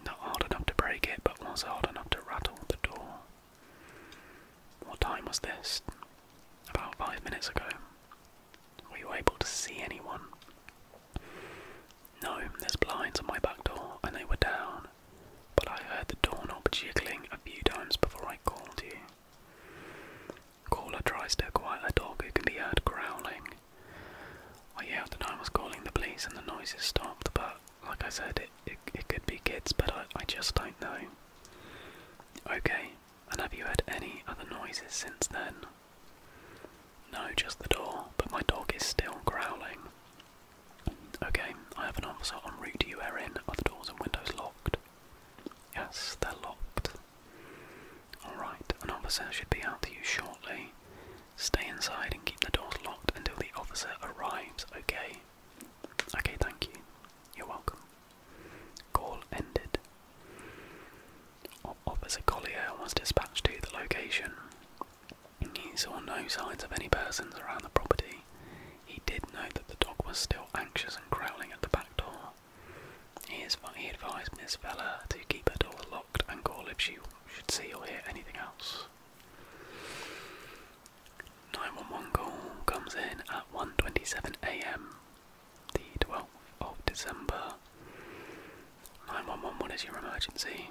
Not hard enough to break it, but was hard enough to rattle the door. What time was this? About five minutes ago. Were you able to see anyone? No, there's blinds on my back door, and they were down, but I heard the doorknob jiggling a few times before I called you. Caller tries to quiet the dog who can be heard growling. I yelled that I was calling the police and the noises stopped, but like I said, it, it, it could be kids, but I, I just don't know. Okay, and have you heard any other noises since then? No, just the door, but my dog is still growling. Okay, I have an officer on route You are in. Are the doors and windows locked? Yes, they're locked. Alright, an officer should be out to you shortly. Stay inside and keep the doors locked until the officer arrives, okay? Okay, thank you. You're welcome. Call ended. Officer Collier was dispatched to the location. He saw no signs of any persons around the property. He did know that the dog was still anxious and growling at the back door. He, is, he advised Miss Vella to keep her door locked and call if she should see or hear anything else. 911 call comes in at one twenty seven am the 12th of December. 911, is your emergency?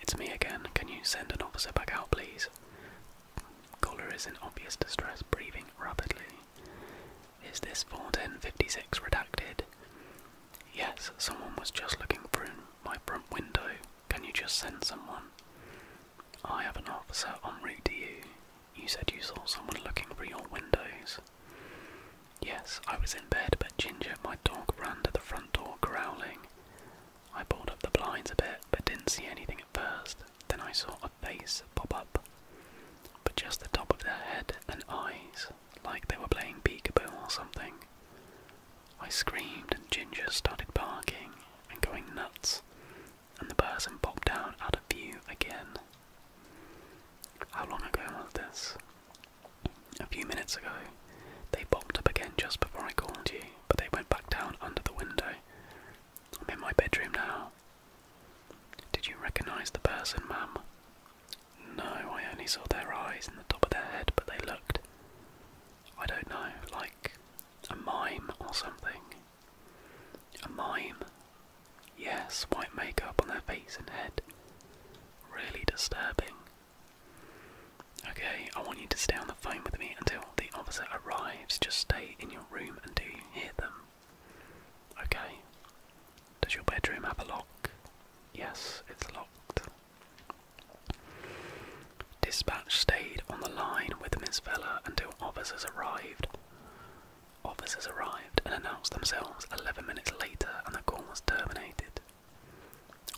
It's me again. Can you send an officer back out, please? Caller is in obvious distress, breathing rapidly. Is this 41056 redacted? Yes, someone was just looking through my front window. Can you just send someone? I have an officer on route to you. You said you saw someone looking through your windows. Yes, I was in bed, but Ginger, my dog, ran to the front door growling. I pulled up the blinds a bit, but didn't see anything at first. Then I saw a face pop up, but just the top of their head and eyes like they were playing peekaboo or something. I screamed, and Ginger started barking and going nuts, and the person popped out out of view again. How long ago was this? A few minutes ago. They popped up again just before I called you, but they went back down under the window. I'm in my bedroom now. Did you recognize the person, Mum? No, I only saw their eyes and the top of their head, but they looked, I don't know, like a mime or something. A mime. Yes, white makeup on their face and head. Really disturbing. Okay, I want you to stay on the phone with me until the officer arrives. Just stay in your room until you hear them Okay. Does your bedroom have a lock? Yes, it's locked. Dispatch stayed on the line with Miss Vella until officers arrived. Officers arrived and announced themselves 11 minutes later, and the call was terminated.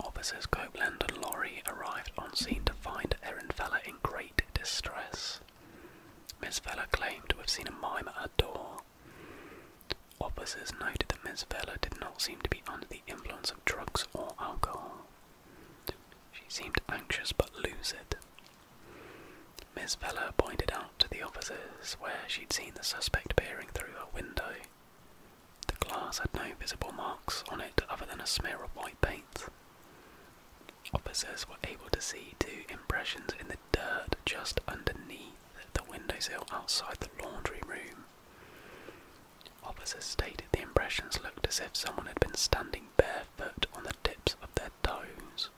Officers Copeland and Lorry arrived on scene to find Erin Feller in great distress. Miss Feller claimed to have seen a mime at her door alcohol. Officers noted that Mesvella did not seem to be under the influence of drugs or alcohol. She seemed anxious but lucid. Miss Vella pointed out to the officers where she'd seen the suspect peering through a window. The glass had no visible marks on it other than a smear of white paint. Officers were able to see two impressions in the dirt just underneath the windowsill outside the laundry room. Officers stated the impressions looked as if someone had been standing barefoot on the tips of their toes.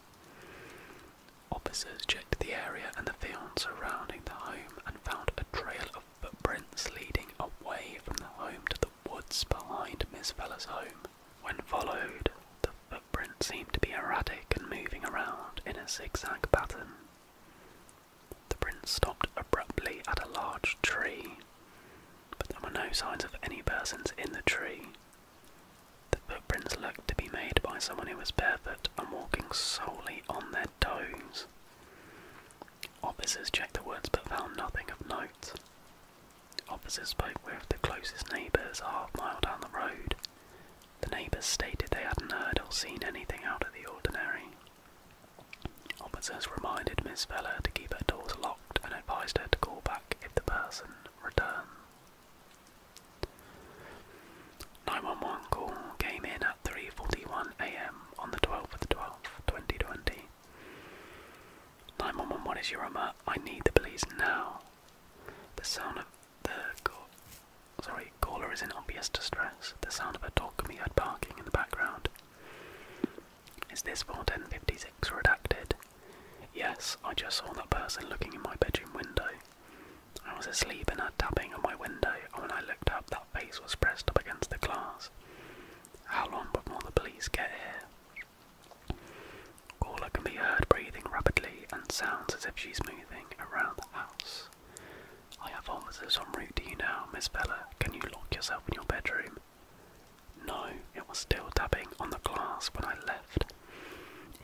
Officers checked the area and the field surrounding the home and found a trail of footprints leading away from the home to the woods behind Miss Feller's home. When followed, the footprints seemed to be erratic and moving around in a zigzag pattern. The prints stopped abruptly at a large tree, but there were no signs of any persons in the tree. The footprints looked to be made by someone who was barefoot and walking solely on their toes. Officers checked the woods but found nothing of note. Officers spoke with the closest neighbours a half mile down the road the neighbours stated they hadn't heard or seen anything out of the ordinary. Officers reminded Miss Feller to keep her doors locked and advised her to call back if the person returned. 911 call came in at 3.41am on the 12th of the 12th, 2020. 911, what is your remote? I need the police now. The the go sorry, caller is in obvious distress. The sound of a dog can be heard barking in the background. Is this for redacted? Yes, I just saw that person looking in my bedroom window. I was asleep and heard tapping on my window, when I looked up, that face was pressed up against the glass. How long before the police get here? Caller can be heard breathing rapidly and sounds as if she's moving around the house. I have officers on route to you now, Miss Bella. Can you lock yourself in your bedroom? No, it was still tapping on the glass when I left.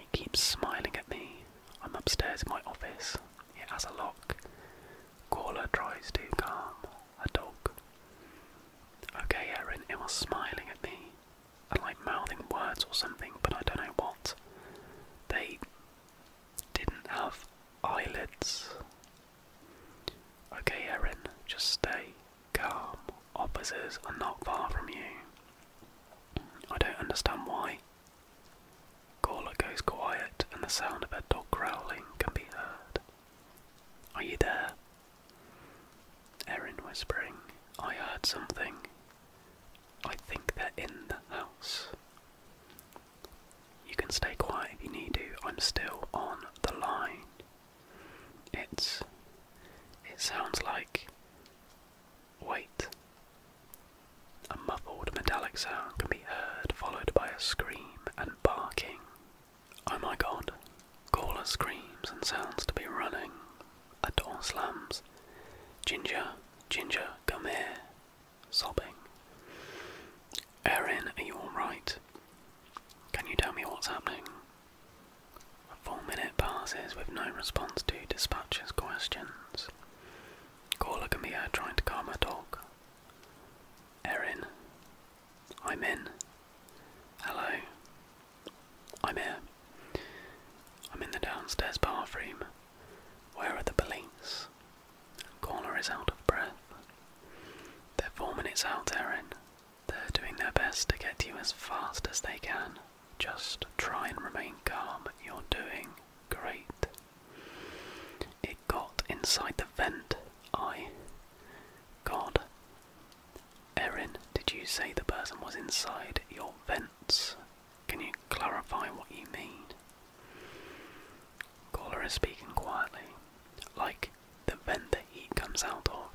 It keeps smiling at me. I'm upstairs in my office. It has a lock. Caller tries to calm a dog. Okay, Aaron, it was smiling at me. And like mouthing words or something, but I don't know what. They didn't have eyelids. Okay, Erin, just stay calm. Opposites are not far from you. I don't understand why. Gawler goes quiet, and the sound of her dog growling can be heard. Are you there? Erin whispering, I heard something. I think they're in the house. You can stay quiet if you need to. I'm still on the line. It's. It sounds like. Wait. A muffled metallic sound can be heard, followed by a scream and barking. Oh my god. Caller screams and sounds to be running. A door slams. Ginger, Ginger, come here, sobbing. Erin, are you alright? Can you tell me what's happening? A full minute passes with no response to dispatcher's questions. Caller can trying to calm her dog. Erin, I'm in. Hello. I'm here. I'm in the downstairs bathroom. Where are the police? Corner is out of breath. They're four minutes out, Erin. They're doing their best to get you as fast as they can. Just try and remain calm. You're doing great. It got inside the vent. I. God. Erin, did you say the person was inside your vents? Can you clarify what you mean? Caller is speaking quietly, like the vent that he comes out of.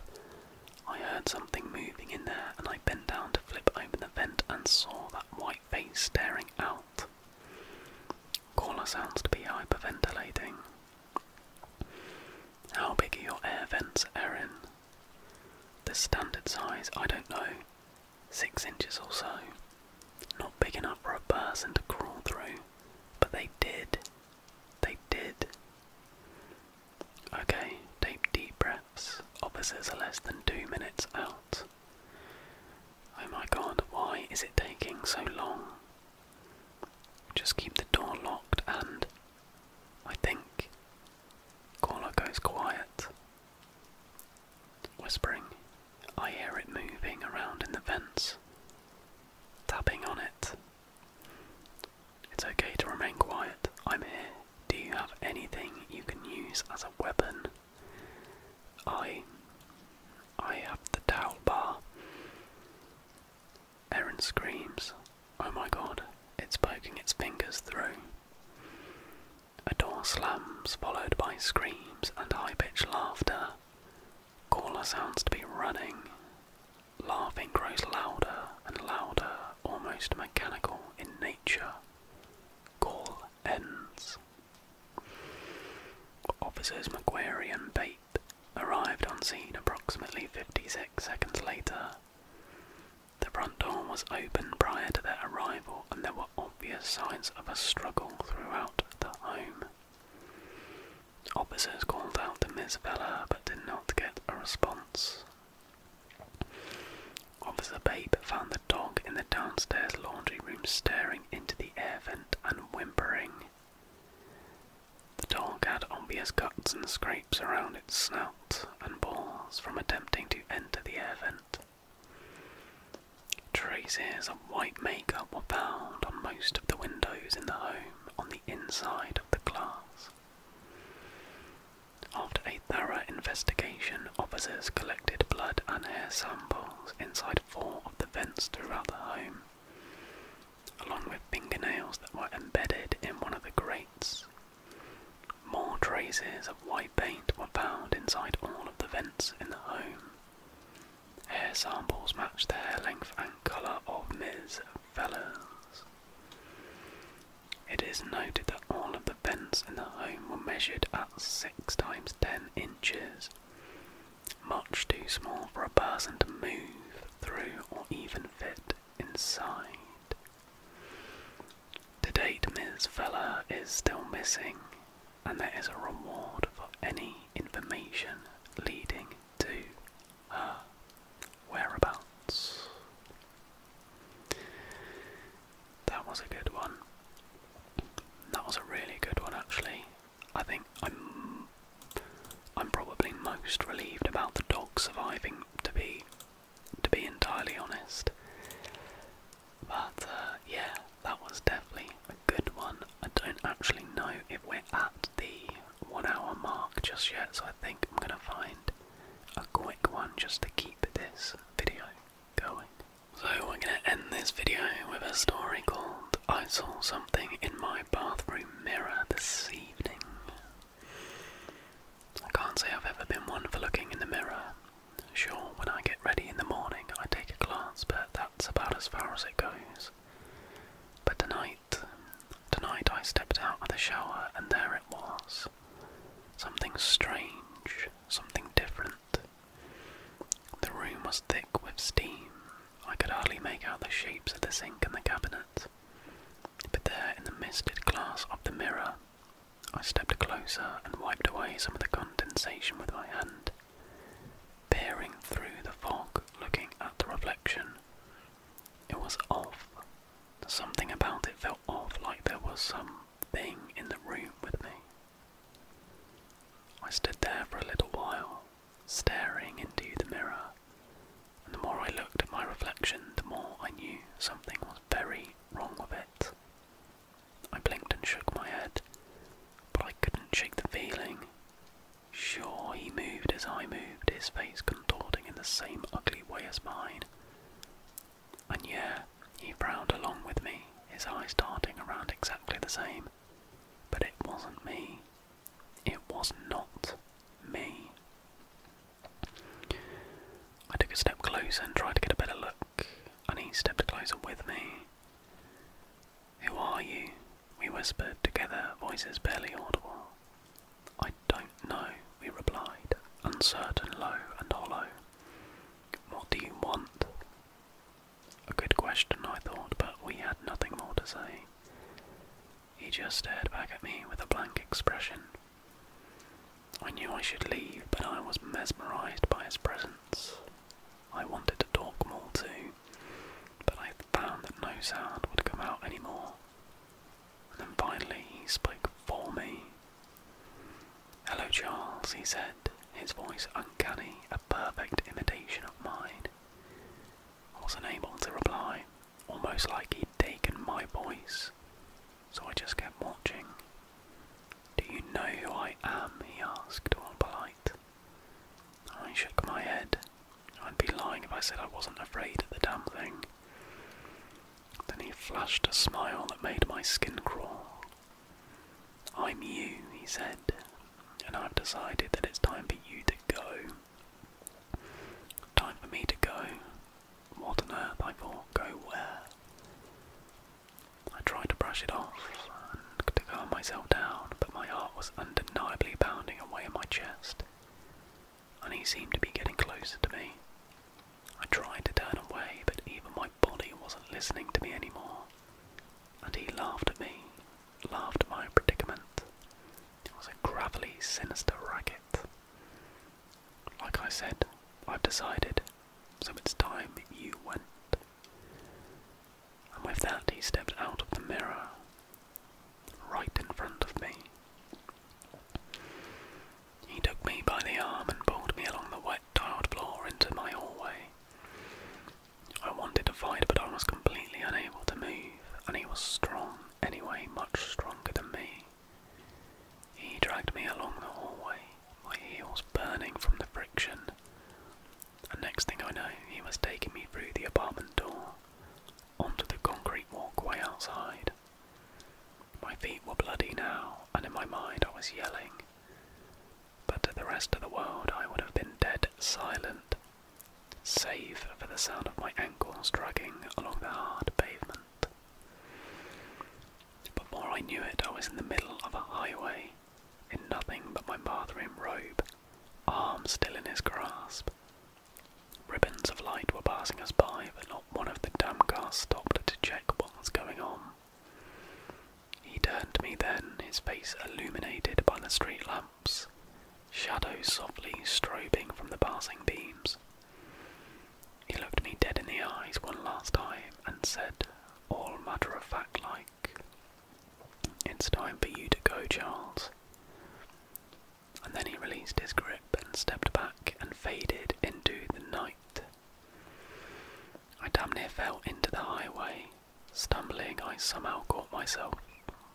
I heard something moving in there, and I bent down to flip open the vent and saw that white face staring out. Caller sounds to be hyperventilating. How big are your air vents, Erin? The standard size, I don't know six inches or so. Not big enough for a person to crawl through, but they did. They did. Okay, take deep breaths. Officers are less than two minutes out. Oh my god, why is it taking so long? Just keep the door locked and I think caller goes quiet. Whispering. I hear it moving around in the vents. Tapping on it. It's okay to remain quiet. I'm here. Do you have anything you can use as a weapon? I. I have the towel bar. Erin screams. Oh my god, it's poking its fingers through. A door slams, followed by screams and high pitched laughter. Caller sounds to be running. Laughing grows louder and louder, almost mechanical in nature. Call ends. Officers McQuarrie and Bate arrived on scene approximately 56 seconds later. The front door was open prior to their arrival, and there were obvious signs of a struggle throughout the home. Officers called out to Miss Vella but did not get a response. Officer Babe found the dog in the downstairs laundry room staring into the air vent and whimpering. The dog had obvious cuts and scrapes around its snout and balls from attempting to enter the air vent. Traces of white makeup were found on most of the windows in the home on the inside of the glass. After a thorough investigation, officers collected blood and hair samples inside four of the vents throughout the home, along with fingernails that were embedded in one of the grates. More traces of white paint were found inside all of the vents in the home. Hair samples match the hair length and colour of Ms. Fellows. It is noted that all of the vents in the home were measured at 6 times 10 inches, much too small for a person to move through or even fit inside. To date, Ms. Feller is still missing, and there is a reward for any information leading to her whereabouts. That was a good one. That was a really good one, actually. I think I'm. I'm probably most relieved about the dog surviving. To be, to be entirely honest, but uh, yeah, that was definitely a good one. I don't actually know if we're at the one hour mark just yet, so I think I'm going to find a quick one just to keep this video going. So we're going to end this video with a story called I Saw Something in My Bathroom Mirror This Evening. I can't say I've ever been one for looking in the mirror, Sure, when I get ready in the morning, I take a glance, but that's about as far as it goes. But tonight, tonight I stepped out of the shower and there it was. Something strange, something different. The room was thick with steam. I could hardly make out the shapes of the sink and the cabinet. But there, in the misted glass of the mirror, I stepped closer and wiped away some of the condensation with my hand, peering through the fog, looking at the reflection. It was off. Something about it felt off, like there was something in the room with me. I stood there for a little while, staring into the mirror, and the more I looked at my reflection, the more I knew something was very wrong with it. I blinked and shook my head, but I couldn't shake the feeling. Sure, he moved as I moved, his face contorting in the same ugly way as mine. And yeah, he frowned along with me, his eyes darting around exactly the same. But it wasn't me. It was not me. I took a step closer and tried to get a better look and he stepped closer with me. Who are you? We whispered together, voices barely audible. I don't know, we replied, uncertain, low and hollow. What do you want? A good question, I thought, but we had nothing more to say. He just stared back at me with a blank expression. I knew I should leave, but I was mesmerized by his presence. I wanted to talk more too, but I found that no sound would come out anymore. And then finally he spoke for me. Hello, Charles, he said, his voice uncanny, a perfect imitation of mine. I was not able to reply, almost like he'd taken my voice, so I just kept watching. Do you know who I am? he asked, all polite. I shook my head. I'd be lying if I said I wasn't afraid of the damn thing. Then he flashed a smile that made my skin crawl. I'm you, he said, and I've decided that it's time for you to go. Time for me to go. What on earth, I thought, go where? I tried to brush it off and to calm myself down, but my heart was undeniably pounding away in my chest, and he seemed to be getting closer to me. I tried to turn away, but even my body wasn't listening to me anymore, and he laughed at me, laughed at my predicament. It was a gravelly, sinister racket. Like I said, I've decided, so it's time you went. And with that, he stepped out of the mirror, right in front of me. He took me by the arm and pulled me along the wet tiled floor into my hallway. I wanted to fight, but I was completely unable to move, and he was strong anyway, much stronger than me. He dragged me along the hallway, my heels burning from the friction. And next thing I know, he was taking me through the apartment door onto the concrete walkway outside. My feet were bloody now, and in my mind I was yelling. But to the rest of the world, I would have been dead silent, save for the sound of my ankles dragging along the hard pavement. But Before I knew it, I was in the middle of a highway in nothing but my Marthrim robe, arms still in his grasp. Ribbons of light were passing us by, but not one of the damn cars stopped to check what was going on. He turned to me then, his face illuminated by the street lamps, shadows softly strobing from the passing beams. He looked me dead in the eyes one last time and said, all matter of fact like. It's time for you to go, Charles. And then he released his grip and stepped back and faded into the night. I damn near fell into the highway. Stumbling, I somehow caught myself.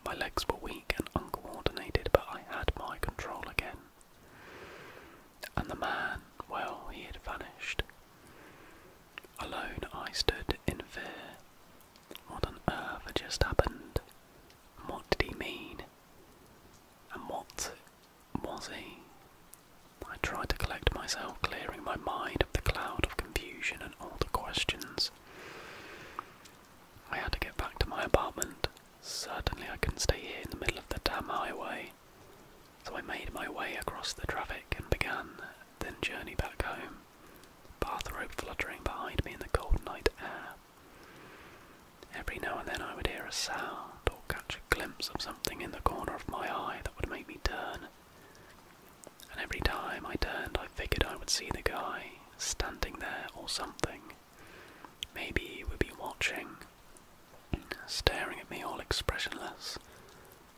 My legs were weak and uncoordinated, but I had my control again. And the man, well, he had vanished. Alone I stood in fear. What on earth had just happened? what did he mean? And what was he? I tried to collect myself, clearing my mind of the cloud of confusion and all the questions. I had to get back to my apartment. Certainly I couldn't stay here in the middle of the damn highway. So I made my way across the traffic and began the journey back home, bathrobe fluttering behind me in the cold night air. Every now and then I would hear a sound or catch a glimpse of something in the corner of my eye that would make me turn. And every time I turned, I figured I would see the guy standing there or something. Maybe he would be watching, staring at me all expressionless,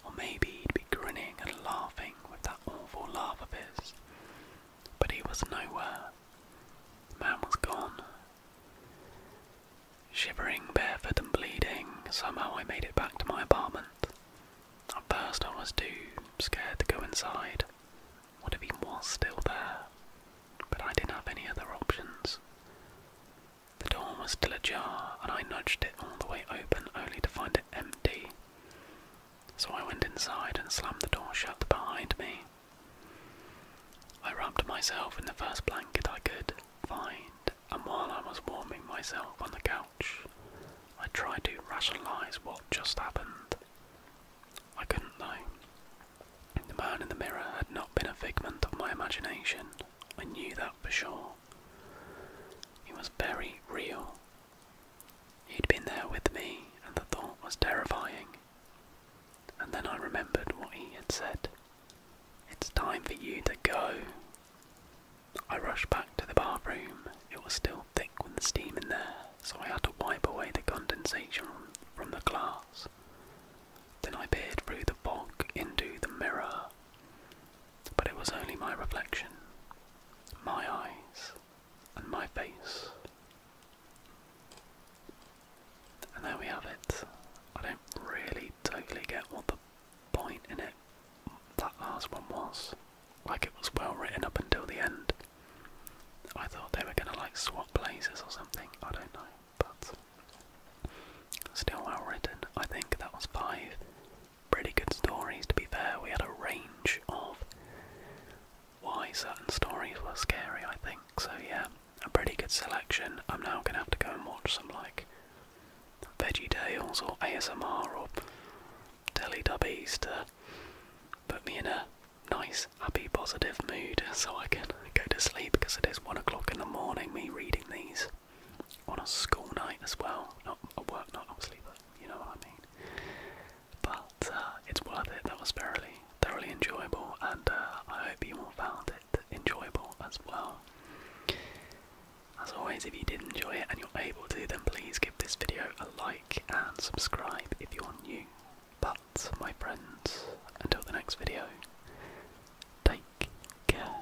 or maybe he'd be grinning and laughing with that awful laugh of his. But he was nowhere. The man was gone. Shivering, barefoot, and bleeding, somehow I made it back to my apartment. At first, I was too scared to go inside. What if he was still there? But I didn't have any other options. The door was still ajar, and I nudged it all the way open only to find it empty. So I went inside and slammed the door shut behind me. I wrapped myself in the first blanket I could find, and while I was warming myself on the couch, I tried to rationalise what just happened. I couldn't though. The man in the mirror had not been a figment of my imagination. I knew that for sure. He was very real. He'd been there with me, and the thought was terrifying. And then I remembered what he had said. It's time for you to go. I rushed back to the bathroom. It was still thick with the steam in there, so I had to wipe away the condensation from the glass. Then I peered through the fog into the mirror but it was only my reflection, my eyes, and my face. And there we have it. I don't really totally get what the point in it that last one was. Like it was well written up until the end. I thought they were gonna like swap places or something. I don't know, but still well written. I think that was five pretty good stories, to be fair. We had a range of why certain stories were scary, I think. So, yeah, a pretty good selection. I'm now going to have to go and watch some, like, Veggie Tales or ASMR or Teletubbies to put me in a nice, happy, positive mood so I can go to sleep because it is one o'clock in the morning, me reading these on a school night as well. Not a work not obviously, but you know what I mean. But uh, it's worth it. That was thoroughly, thoroughly enjoyable, and uh, I hope you all found it enjoyable as well. As always, if you did enjoy it and you're able to, then please give this video a like and subscribe if you're new. But, my friends, until the next video, take care.